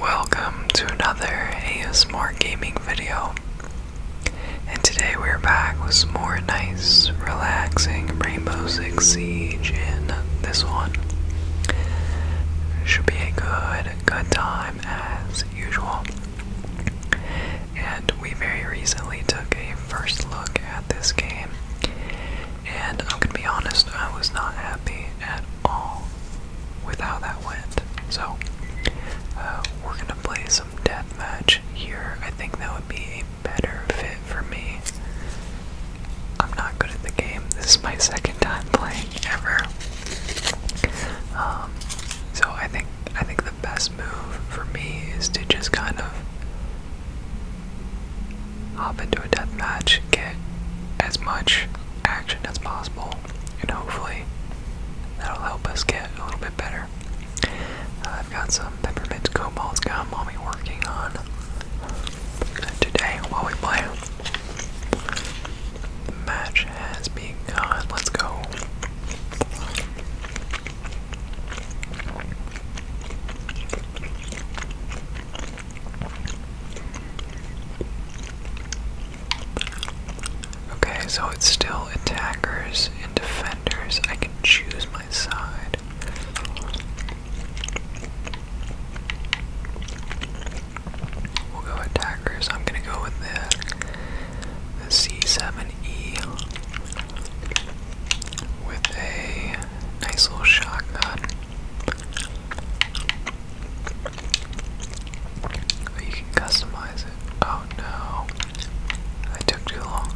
Welcome to another ASMR gaming video. And today we're back with more nice, relaxing Rainbow Six Siege in this one. Should be a good, good time as usual. And we very recently took a first look at this game. And I'm gonna be honest, I was not happy at all with how that went. So, uh, we're gonna play some death match here. I think that would be a better fit for me. I'm not good at the game. This is my second time playing ever. Um, so I think I think the best move for me is to just kind of hop into a death match, get as much action as possible, and hopefully that'll help us get a little bit better. Uh, I've got some peppermint cobalt gum I'll be working on today while we play. The match has begun. Let's go. Okay, so it's still attackers and defenders. I can choose my side. We'll go attackers. I'm gonna go with the, C7E with a nice little shotgun. Oh, you can customize it. Oh no. I took too long.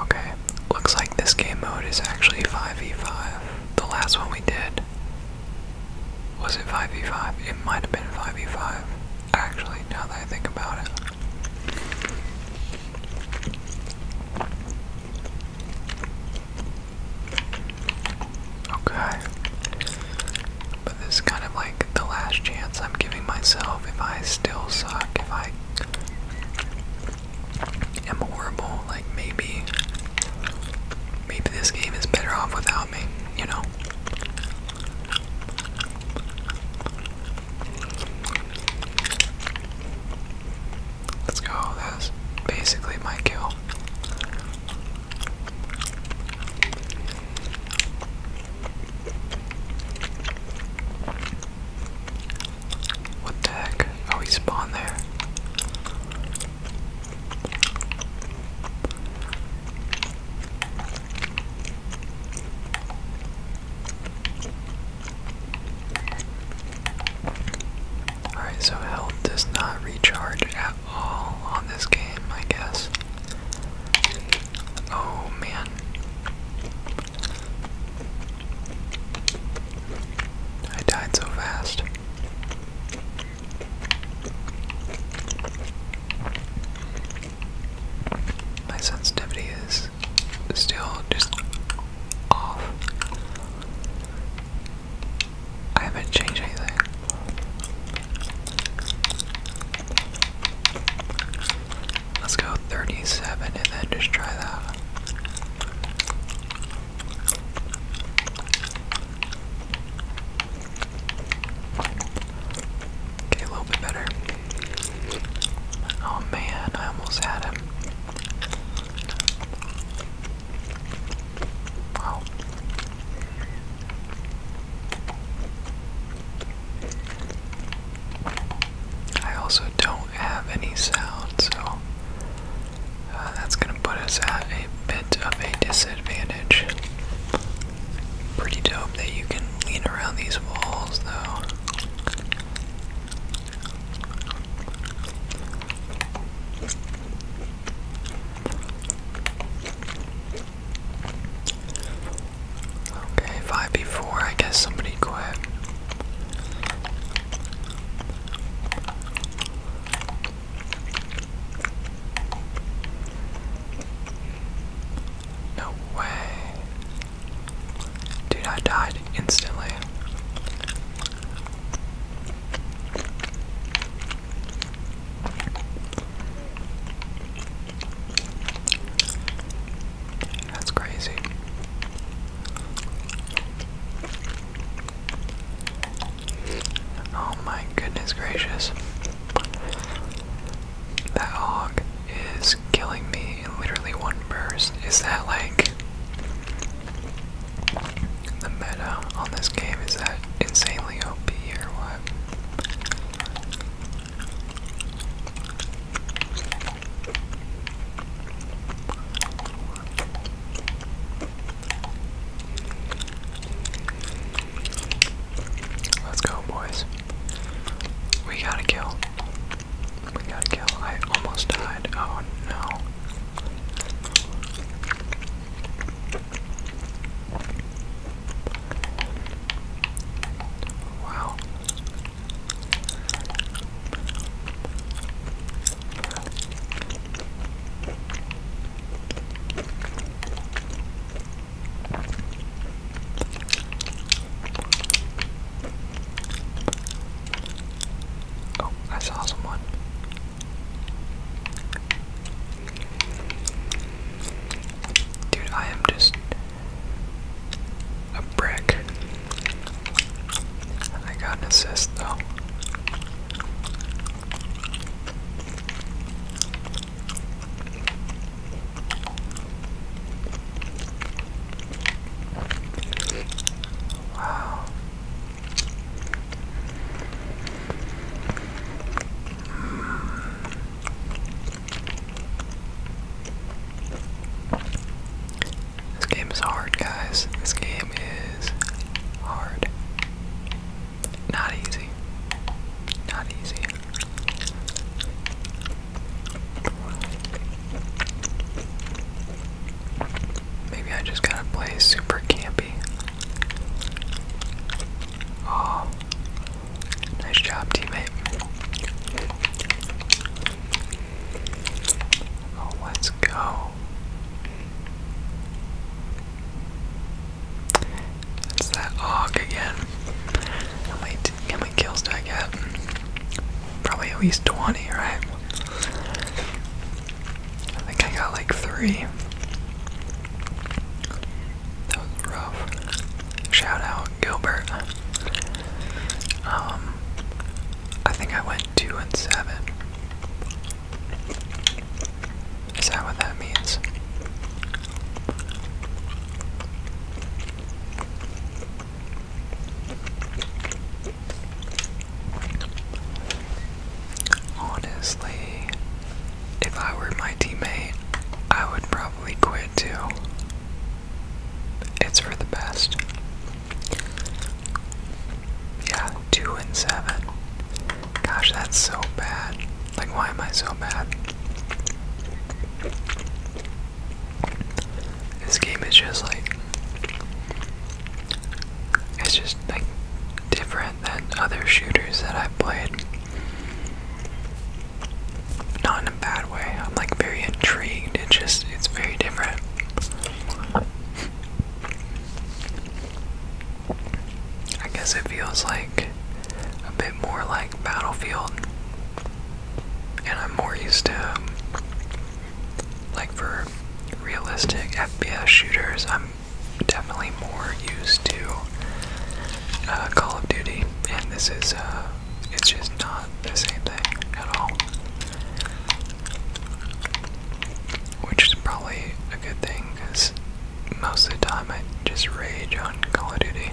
Okay, looks like this game mode is actually 5v5. The last one we did. Was it 5v5? It might have been 5v5. Actually, now that I think about it. Okay. But this is kind of like the last chance I'm giving myself if I still suck, if I am horrible, like maybe maybe this game is better off without Let's go. That's basically my kill. What the heck? Oh, he spawned there. Alright, so health does not recharge at all on this game, I guess. Oh man. I died so fast. My sensitivity is still just off. I haven't changed anything. Let's go 37 and then just try that. Okay, a little bit better. Oh man, I almost had him. Wow. I also don't have any sound, so uh, that's going to put us at a bit of a disadvantage. Pretty dope that you can lean around these walls though. Okay, five before, I guess somebody quit. No way. Dude, I died instantly. That's crazy. Oh my goodness gracious. That hog is killing me in literally one burst. Is that like the meta on this game? Is that insanely OP or what? Let's go, boys. We gotta kill. We gotta kill. I almost died. Oh no. Wow. Oh, I saw someone. Dude, I am just a brick. I got an assist though. Wow. This game is hard, guys. This game is hard. Not easy. Not easy. Maybe I just gotta play super campy. Oh, nice job, teammate. Oh, let's go. That's that hog again. How many, how many kills do I get? Probably at least 20, right? I think I got like three. That was rough. Shout out Gilbert. Um, I think I went two and seven. Is that what that means? Honestly, if I were my teammate, I would probably quit too. It's for the best. Yeah, two and seven. Gosh, that's so bad. Like, why am I so bad? This game is just like. It's just like different than other shooters that I've played. Not in a bad way. I'm like very intrigued. It just it's very different. I guess it feels like a bit more like Battlefield. And I'm more used to, um, like, for realistic FPS shooters, I'm definitely more used to uh, Call of Duty. And this is, uh, it's just not the same thing at all. Which is probably a good thing because most of the time I just rage on Call of Duty.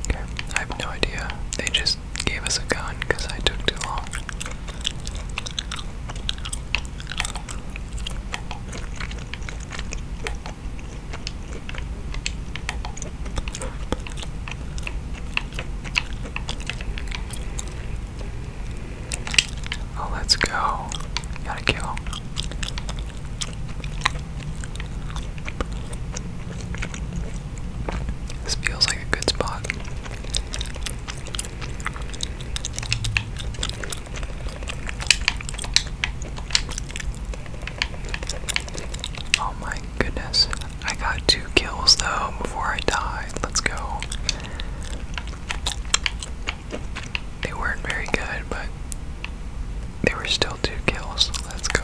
Okay, I have no idea. They just gave us a gun because I took too long. Oh, let's go. Gotta kill. This feels like a good spot. Oh my goodness. I got two kills though before I died. Let's go. They weren't very good, but they were still two kills. Let's go.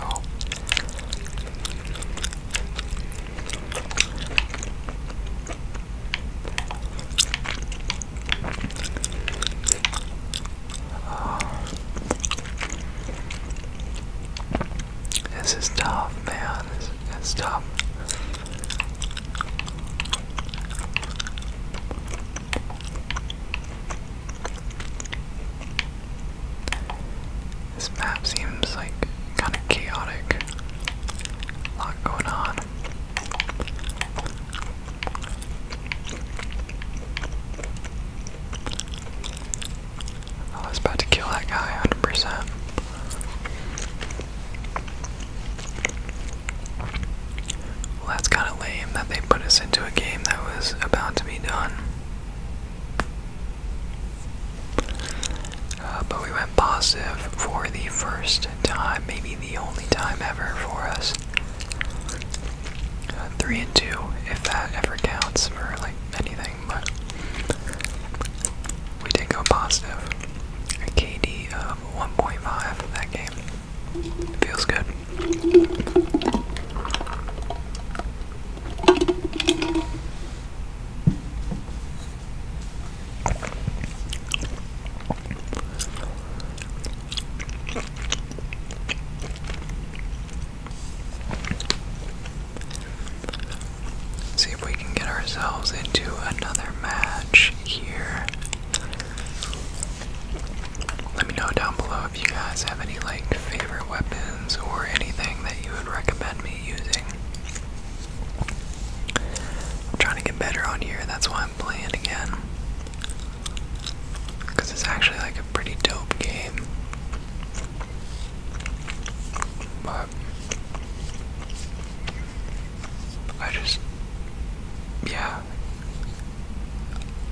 This is tough, man. This, is tough. This map seems like kind of chaotic. A lot going on. I was about to kill that guy 100%. Well, that's kind of lame that they put us into a game that was about to be done. Uh, but we went positive for the first time, maybe the only time ever for us three and two, if that ever counts for like anything. But we did go positive. KD of 1.5 that game. Feels good. See if we can get ourselves into another match here. Let me know down below if you guys have any like favorite weapons or anything that you would recommend me using. I'm trying to get better on here, that's why I'm playing again. Because it's actually like a pretty dope game. But I just, yeah,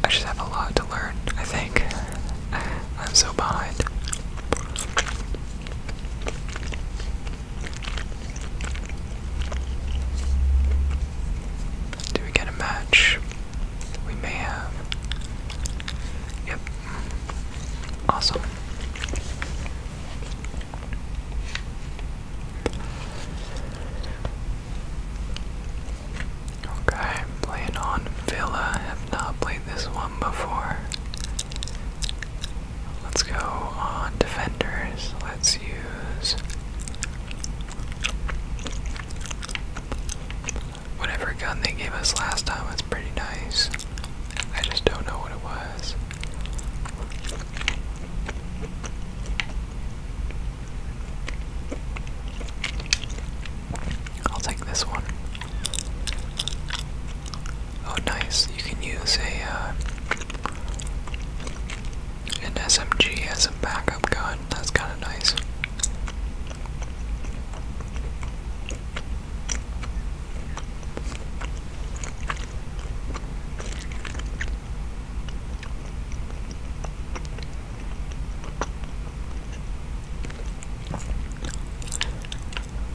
I just have a lot to learn, I think. I'm so behind. Do we get a match? We may have. Yep. Awesome. Okay, playing on Villa. Have not played this one before. Let's go on defenders. Let's use Whatever gun they gave us last time was pretty nice. I just don't know what it was. I'll take this one. Oh, nice. You can use a uh, an SMG as a backup gun. That's kind of nice.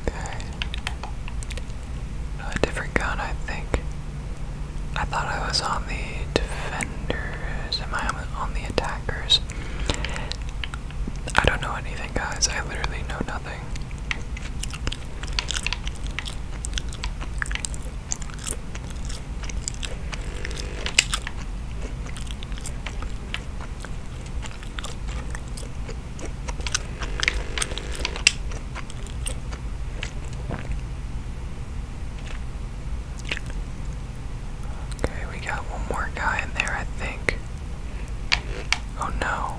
Okay. A different gun, I think. I thought I was on the defend defenders? Am on the attackers? I don't know anything, guys. I literally know nothing. Okay, we got one more guy in there, I think. Oh no.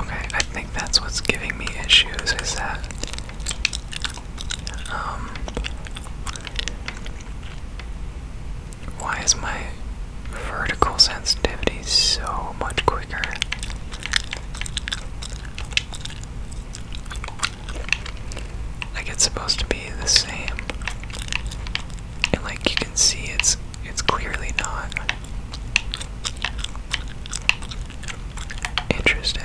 Okay, I think that's what's giving me issues is that um why is my vertical sensitivity so much quicker? Like it's supposed to be the same. And like you can see it's it's clearly not. Interesting.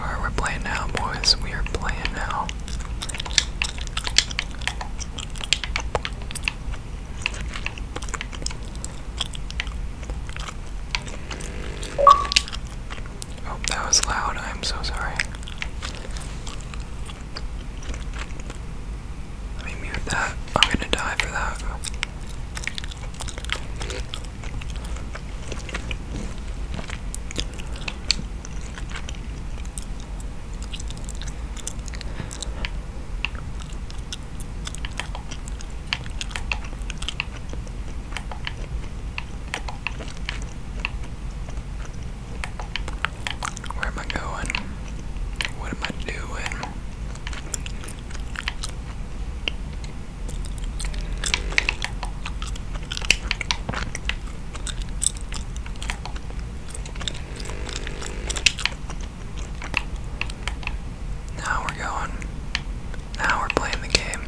Alright, we're playing now, boys. We are playing now. Oh, that was loud. I'm so sorry. Let me mute that. I'm gonna die for that. Where am I going? What am I doing? Now we're going. Now we're playing the game.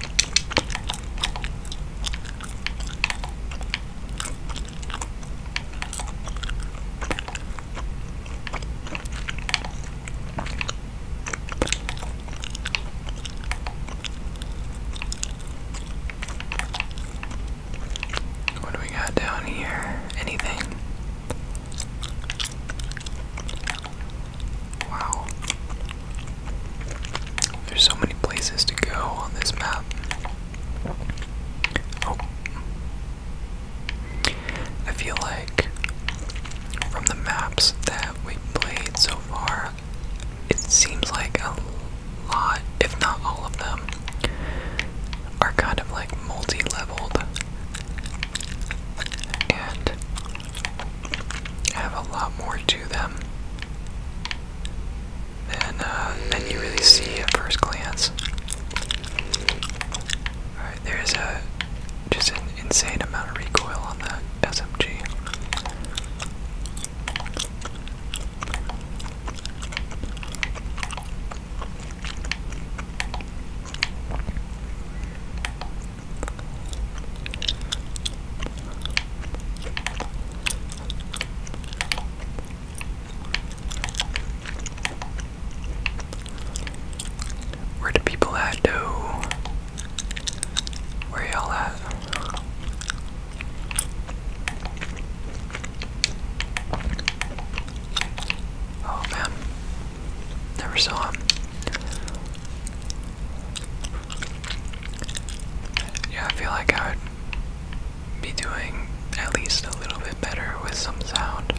What do we got down here? Anything? Wow. There's so many places to go on this map. Oh. I feel like from the maps that we played so far, it seems like a lot, if not all of them, are kind of like multi leveled and have a lot more to them than, uh, than you really see at first glance. Alright, there's a just insane amount of recoil on that SMG. Where the people at Where y'all at? Oh man. Never saw him. Yeah, I feel like I would be doing at least a little bit better with some sound.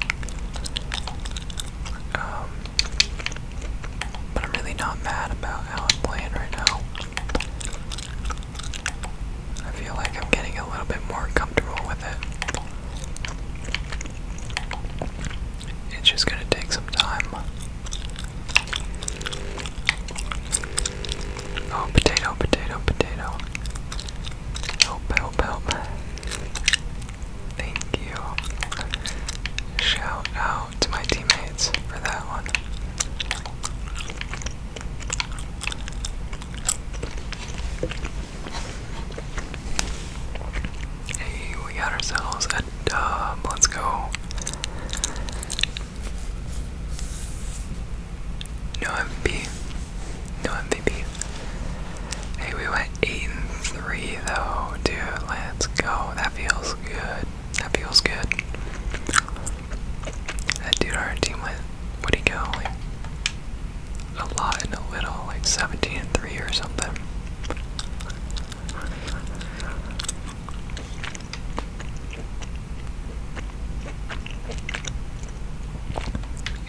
Um, but I'm really not mad about how I'm playing right now. I feel like I'm getting a little bit more comfortable with it. It's just gonna take some time. Oh, potato, potato, potato. Help, help, help. Thank you. Shout out to my teammates for that one. Hey, we got ourselves a dub. Let's go. No MVP. No MVP. Hey, we went 8 and 3 though, dude. Let's go. That feels good. That feels good. That dude, our team went, what do you go? Like a lot and a little, like 17 and 3 or something.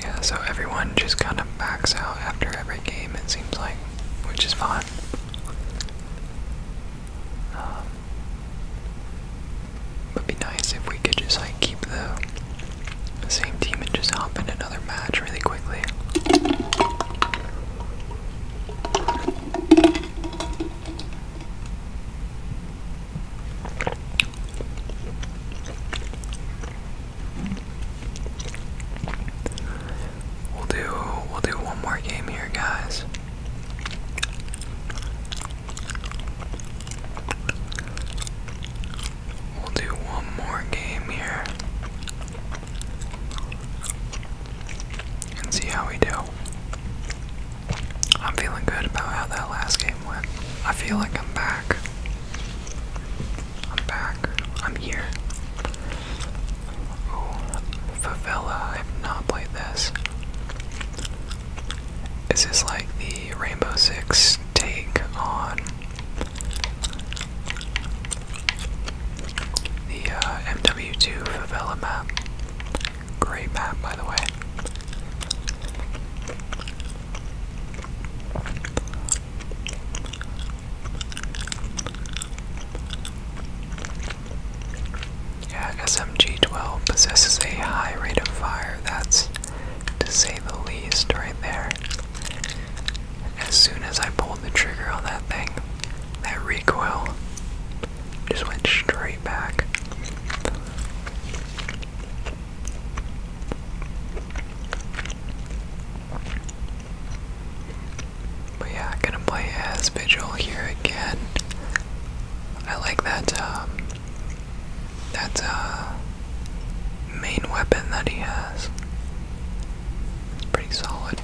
Yeah, so everyone just kind of backs out after every game, it seems like, which is fine. would um, be nice if we could just like keep the same team and just hop in another match really quickly. We'll do we'll do one more game here, guys. We'll do one more game here. And see how we do. I'm feeling good about how that last game went. I feel like I'm back. I'm back. I'm here. Favela. I have not played this. Is like the Rainbow Six take on the uh, MW2 Favela map? Great map, by the way. Yeah, SMG-12 possesses a high rate of fire, that's to say the least right there. As soon as I pulled the trigger on that thing, that recoil just went straight back. But yeah, gonna play as Vigil here again. I like that, um, that, uh, main weapon that he has. It's pretty solid.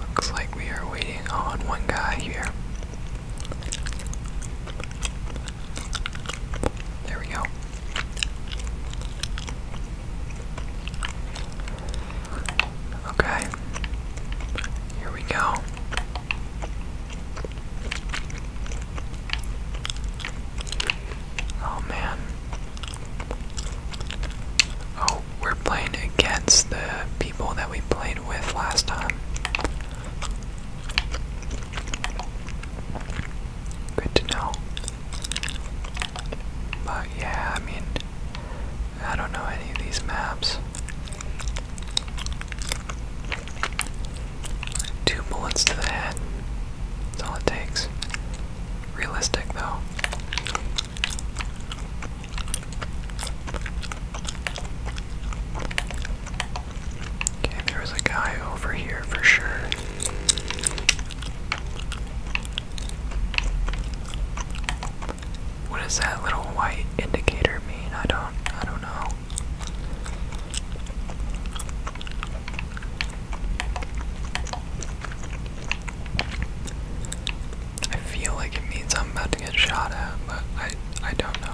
Looks like we are waiting on one guy here. There we go. Okay. Here we go. Oh man. Oh, we're playing against the people that we played with last time. Good to know. But yeah, I mean, I don't know any of these maps. Two bullets to the head. That's all it takes. Realistic, though. Okay, there a guy over here for sure. What does that little white indicator mean? I don't I don't know. I feel like it means I'm about to get shot at, but I I don't know.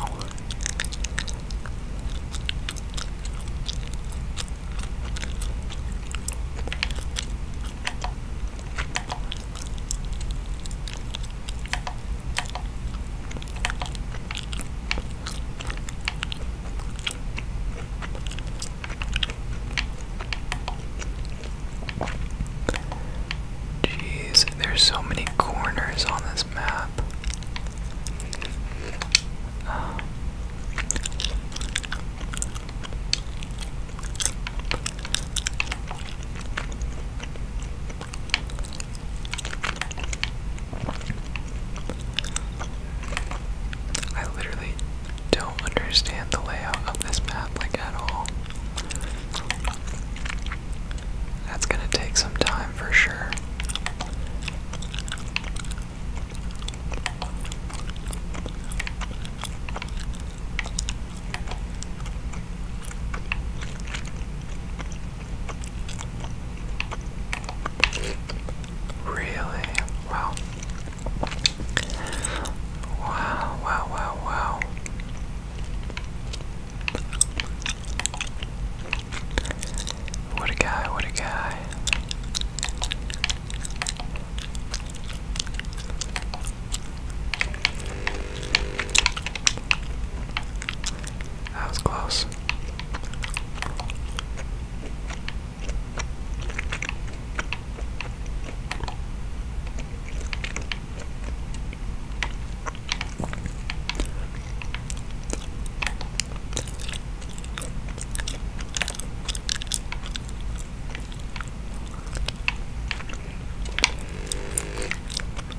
Jeez, there's so many corners on this map. I literally don't understand the layout of this map like at all. That's gonna take some time for sure. Really? Wow. Wow, wow, wow, wow. What a guy, what a guy. That was close.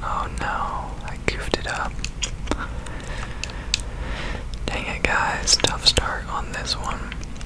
Oh no, I goofed it up. Dang it, guys, tough start on this one.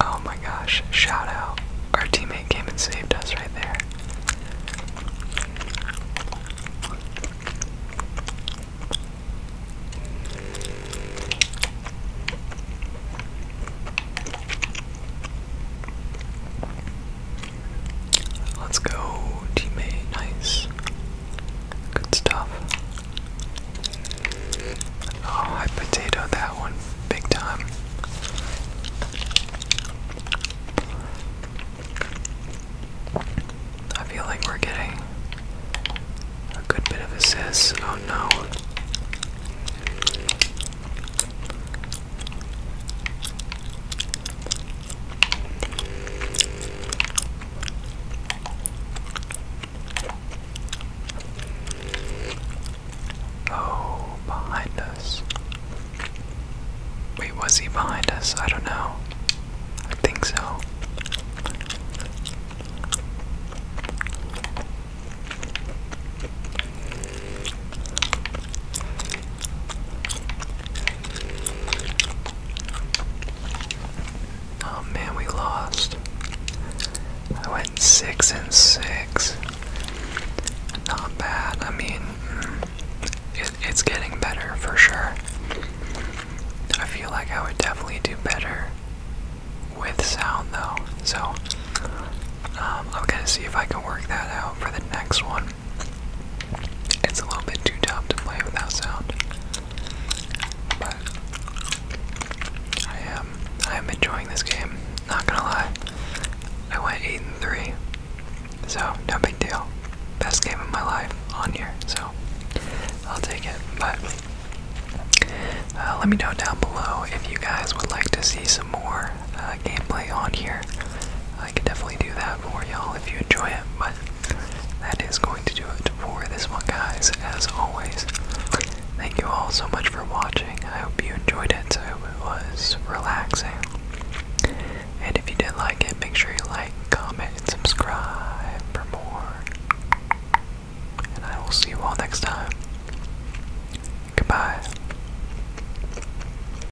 Oh my gosh, shout out. Our teammate came and saved us right there. Let's go, teammate. Nice. Good stuff. Oh, I potatoed that one big time. I feel like we're getting a good bit of assists. Oh no. Oh, behind us. Wait, was he behind us? I don't know. I think so. Oh man, we lost. I went six and six. Not bad. I mean, mm, it's getting better for sure. I feel like I would definitely do better with sound though. So um, I'm gonna see if I can work that out for the next one. It's a little bit too tough to play without sound, but I am I am enjoying this game. Not gonna lie, I went eight and three, so no big deal. Best game of my life on here, so I'll take it. But uh, let me know down below if you guys would like to see some more uh, gameplay on here. I can definitely do that for y'all if you enjoy it, but that is going to do it for this one, guys. As always, thank you all so much for watching. I hope you enjoyed it. I hope it was relaxing. And if you did like it, make sure you like, comment, and subscribe for more. And I will see you all next time. Goodbye.